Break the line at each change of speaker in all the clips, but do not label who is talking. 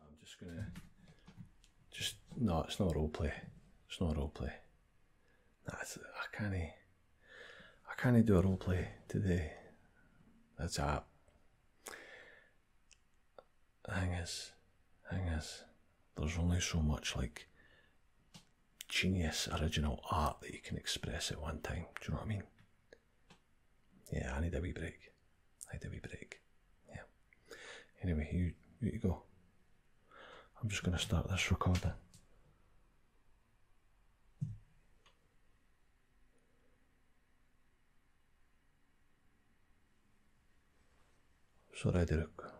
I'm just gonna just no, it's not role play. It's not role play. That's I can't I can't do a role play today. That's up. Thing is, thing is, there's only so much like genius original art that you can express at one time. Do you know what I mean? Yeah, I need a wee break. I need a wee break. Yeah. Anyway, you, you go. I'm just going to start this recording. It's already, rec-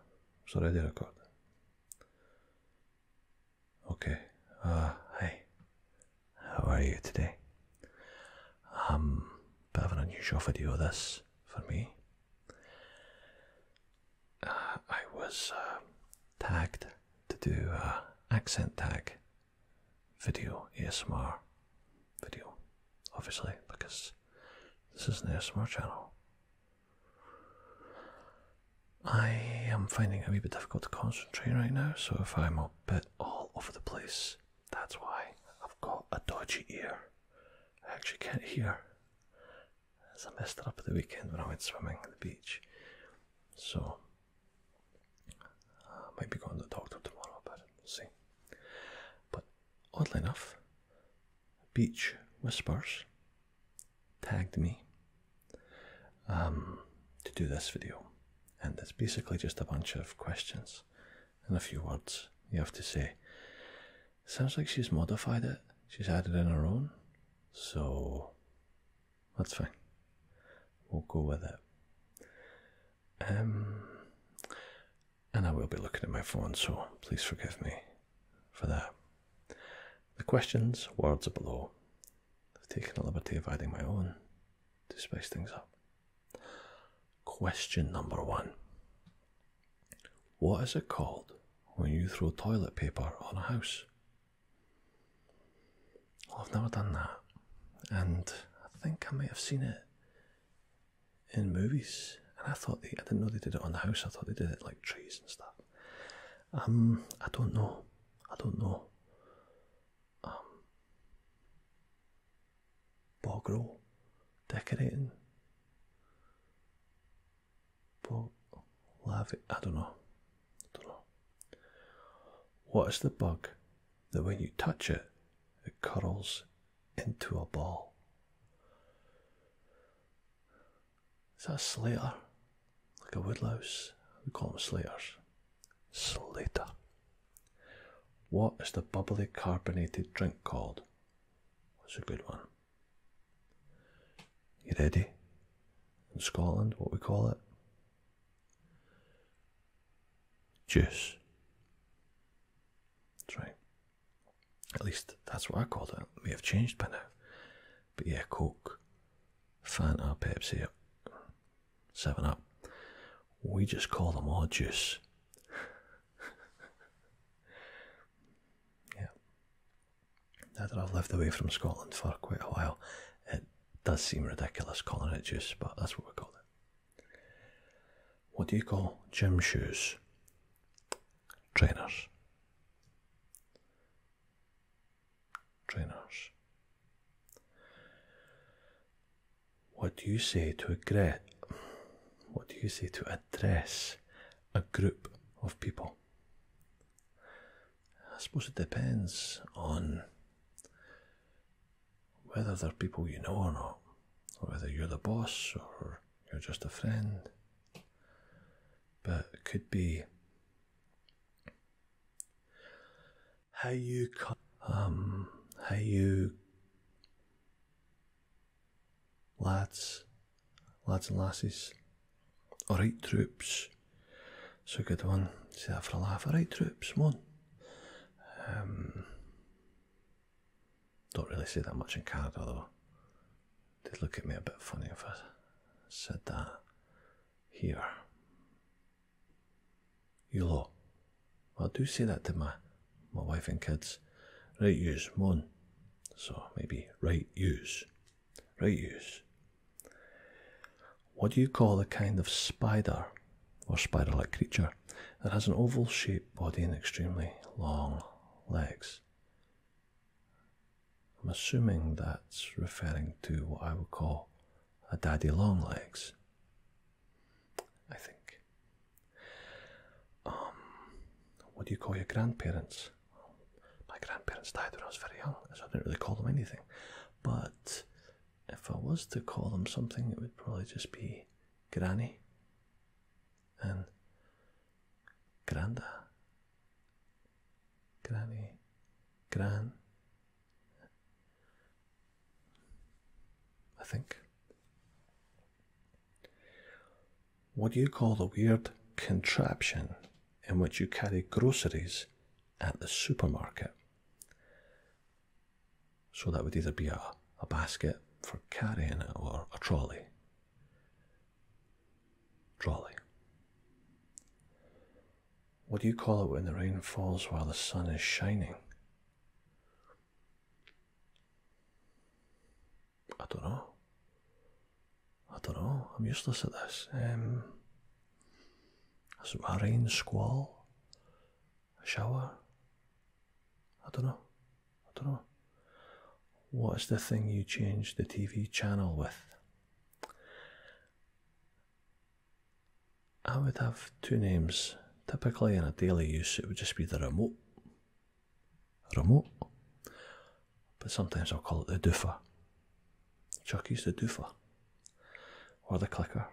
it's already recording. Okay. Uh, hi. how are you today? Um, bit of an unusual video this for me. Uh, I was uh, tagged to do a accent tag video, ASMR video, obviously, because this is an ASMR channel. I am finding it a bit difficult to concentrate right now, so if I'm a bit all over the place, that's why I've got a dodgy ear. I actually can't hear. As I messed it up at the weekend when I went swimming at the beach. So, I might be going to the doctor tomorrow but we'll see. But oddly enough, Beach Whispers tagged me um, to do this video. And it's basically just a bunch of questions sentence and a few words you have to say. Sounds like she's modified it, she's added in her own, so that's fine. We'll go with it. Um, and I will be looking at my phone, so please forgive me for that. The questions, words are below. I've taken the liberty of adding my own to spice things up. Question number one What is it called when you throw toilet paper on a house? I've never done that, and I think I might have seen it in movies. And I thought they, I didn't know they did it on the house, I thought they did it like trees and stuff. Um, I don't know. I don't know um, Bogrel decorating. Bog I don't know. I don't know. What is the bug that when you touch it it curls into a ball? Is that a slater? Like a woodlouse? We call them slaters. Slater. What is the bubbly carbonated drink called? That's a good one. You ready? In Scotland, what we call it? Juice. That's right. At least that's what I call it. it. May have changed by now. But yeah, Coke, Fanta, Pepsi, Seven Up. We just call them all juice. yeah. Now that I've lived away from Scotland for quite a while, it does seem ridiculous calling it juice, but that's what we call it. What do you call gym shoes? Trainers. Trainers. What do you say to address? What do you say to address a group of people? I suppose it depends on whether they're people you know or not, or whether you're the boss or you're just a friend. But it could be how you um how you lads lads and lasses alright troops so good one see that for a laugh alright troops One. um don't really see that much in Canada though they'd look at me a bit funny if I said that here you lot. Well, do say that to my, my wife and kids. Right use, mon. So maybe right use. Right use. What do you call the kind of spider or spider like creature that has an oval shaped body and extremely long legs? I'm assuming that's referring to what I would call a daddy long legs. I think. Um, what do you call your grandparents? my grandparents died when I was very young, so I didn't really call them anything. But if I was to call them something, it would probably just be Granny and Granda. Granny, Gran, I think. What do you call the weird contraption in which you carry groceries at the supermarket? So that would either be a, a basket for carrying it or a trolley. Trolley what do you call it when the rain falls while the sun is shining? I don't know. I don't know. I'm useless at this. Um, a rain squall? A shower? I don't know. I don't know. What is the thing you change the TV channel with? I would have two names. Typically, in a daily use, it would just be the remote. Remote. But sometimes I'll call it the Chuck Chucky's the doofer. Or the clicker.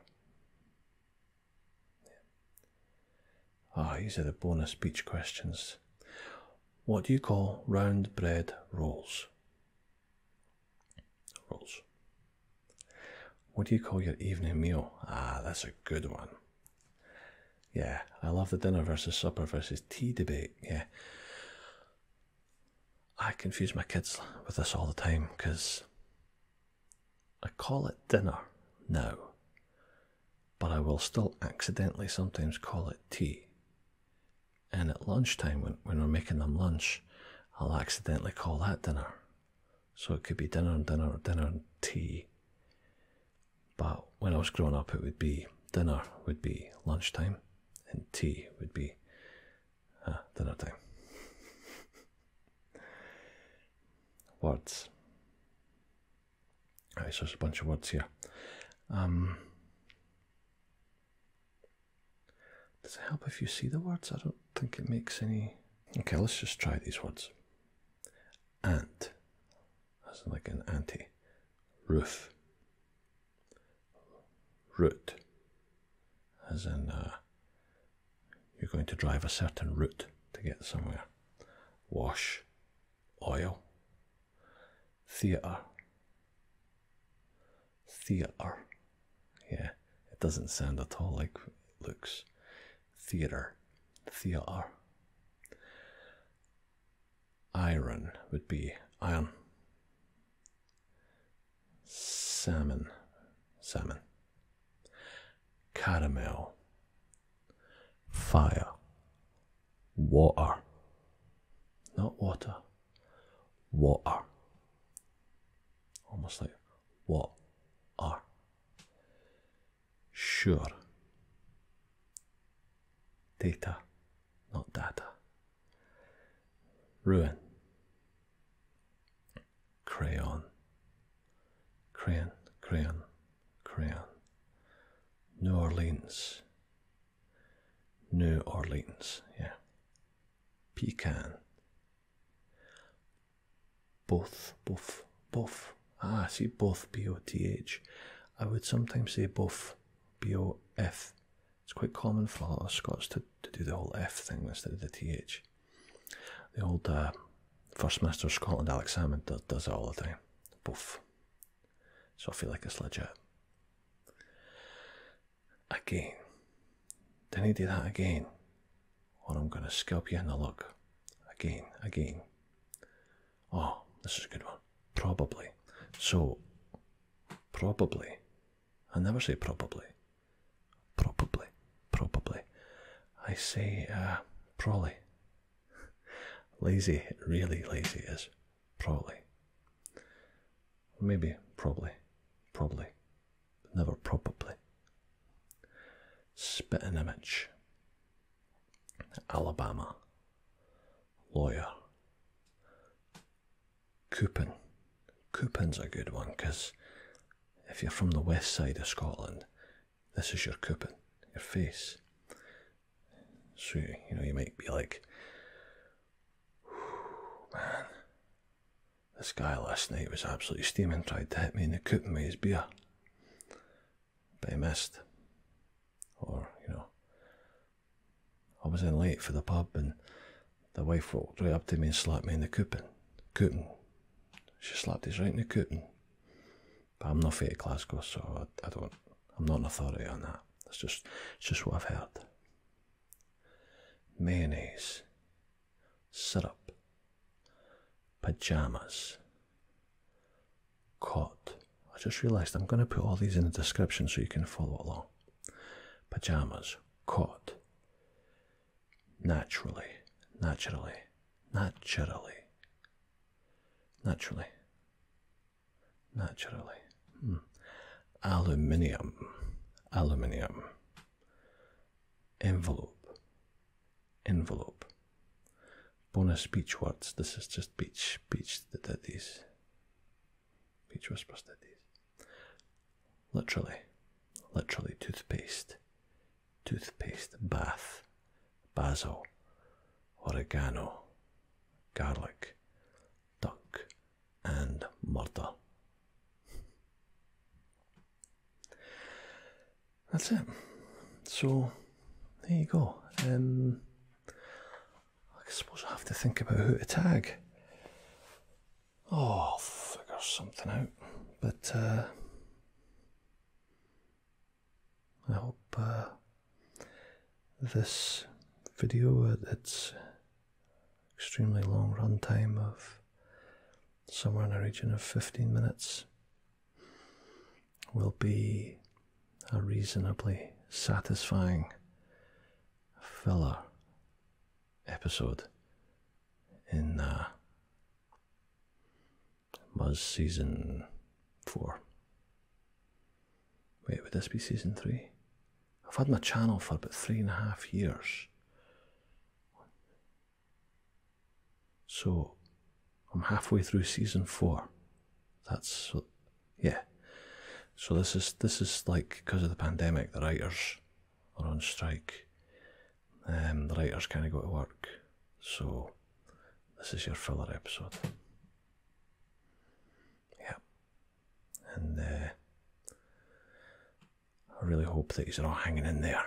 Ah, these are the bonus speech questions. What do you call round bread rolls? Rules. What do you call your evening meal? Ah, that's a good one. Yeah, I love the dinner versus supper versus tea debate. Yeah. I confuse my kids with this all the time because I call it dinner now, but I will still accidentally sometimes call it tea. And at lunchtime, when, when we're making them lunch, I'll accidentally call that dinner. So it could be dinner and dinner, dinner and tea. But when I was growing up, it would be dinner would be lunchtime, and tea would be uh, dinner time. words. Alright, so there's a bunch of words here. Um, does it help if you see the words? I don't think it makes any. Okay, let's just try these words. Ant, as in like an anti. Roof. Route, as in uh, you're going to drive a certain route to get somewhere. Wash, oil, theatre, theater. Yeah, it doesn't sound at all like it looks. Theater. Theater. Iron would be iron. Salmon. Salmon. Caramel. Fire. Water. Not water water. Almost like what are. Sure. Data, not data. Ruin. Crayon. Crayon, crayon, crayon. New Orleans. New Orleans, yeah pecan. Both, both, both. Ah, I see both, B O T H. I would sometimes say both, B O F. It's quite common for a Scots to, to do the whole F thing instead of the T H. The old uh, First Minister of Scotland, Alex Salmon, does, does it all the time. Both. So I feel like it's legit again. Then he did that again, or I'm going to scalp you in the look. Again, again. Oh, this is a good one. Probably. So, probably. I never say probably. Probably. Probably. I say, uh, probably. lazy, really lazy is probably. Maybe, probably, probably, but never probably. Spitting image. Alabama. Lawyer. Coupon. Coupon's a good one because if you're from the west side of Scotland, this is your coupon, your face. So you know you might be like, man, this guy last night was absolutely steaming, tried to hit me in the coop with his beer. But he missed. Or, you know, I was in late for the pub and the wife walked right up to me and slapped me in the coopin. Coopin. She slapped us right in the coopin. But I'm not fair to Glasgow, so I, I don't, I'm not an authority on that. That's just, it's just what I've heard mayonnaise, syrup, pajamas, cot. I just realised I'm going to put all these in the description so you can follow along. Pajamas, cot, naturally, naturally, naturally, naturally, naturally, Hmm. Aluminium, aluminium. Envelope, envelope. Bonus beach words. This is just beach, beach that did these. Beach whispers did Literally, literally toothpaste, toothpaste. Bath, basil, oregano, garlic, duck, and mortal. That's it. So there you go. Um, I suppose I have to think about who to tag. Oh, I'll figure something out. But uh, I hope uh, this video That's. Uh, extremely long runtime of somewhere in the region of 15 minutes will be a reasonably satisfying filler episode in uh, Buzz Season 4. Wait, would this be season three? I've had my channel for about three and a half years. So I'm halfway through season four. That's yeah. So this is this is like because of the pandemic, the writers are on strike. Um, the writers kind of go to work. So this is your filler episode. Yeah and uh, I really hope that you're all hanging in there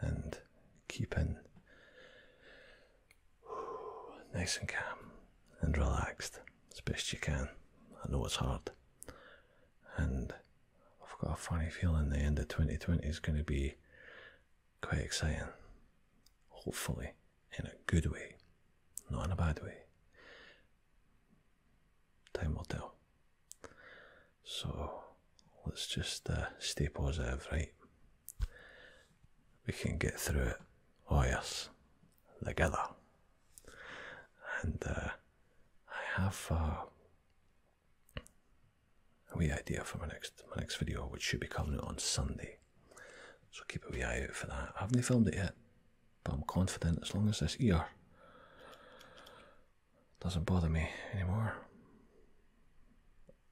and keeping nice and calm and relaxed as best you can. I know it's hard, and I've got a funny feeling the end of 2020 is going to be quite exciting, hopefully in a good way, not in a bad way. Time will tell. So let's just uh, stay positive, right? We can get through it. Oh yes, together. And uh, I have uh, a wee idea for my next my next video, which should be coming on Sunday. So keep a wee eye out for that. I haven't filmed it yet, but I'm confident as long as this ear doesn't bother me anymore,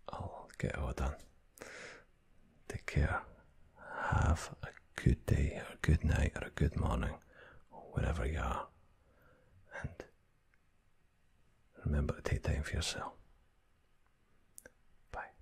I'll get it all done. Take care. Have a good day, or a good night, or a good morning, wherever you are. And remember to take time for yourself. Bye.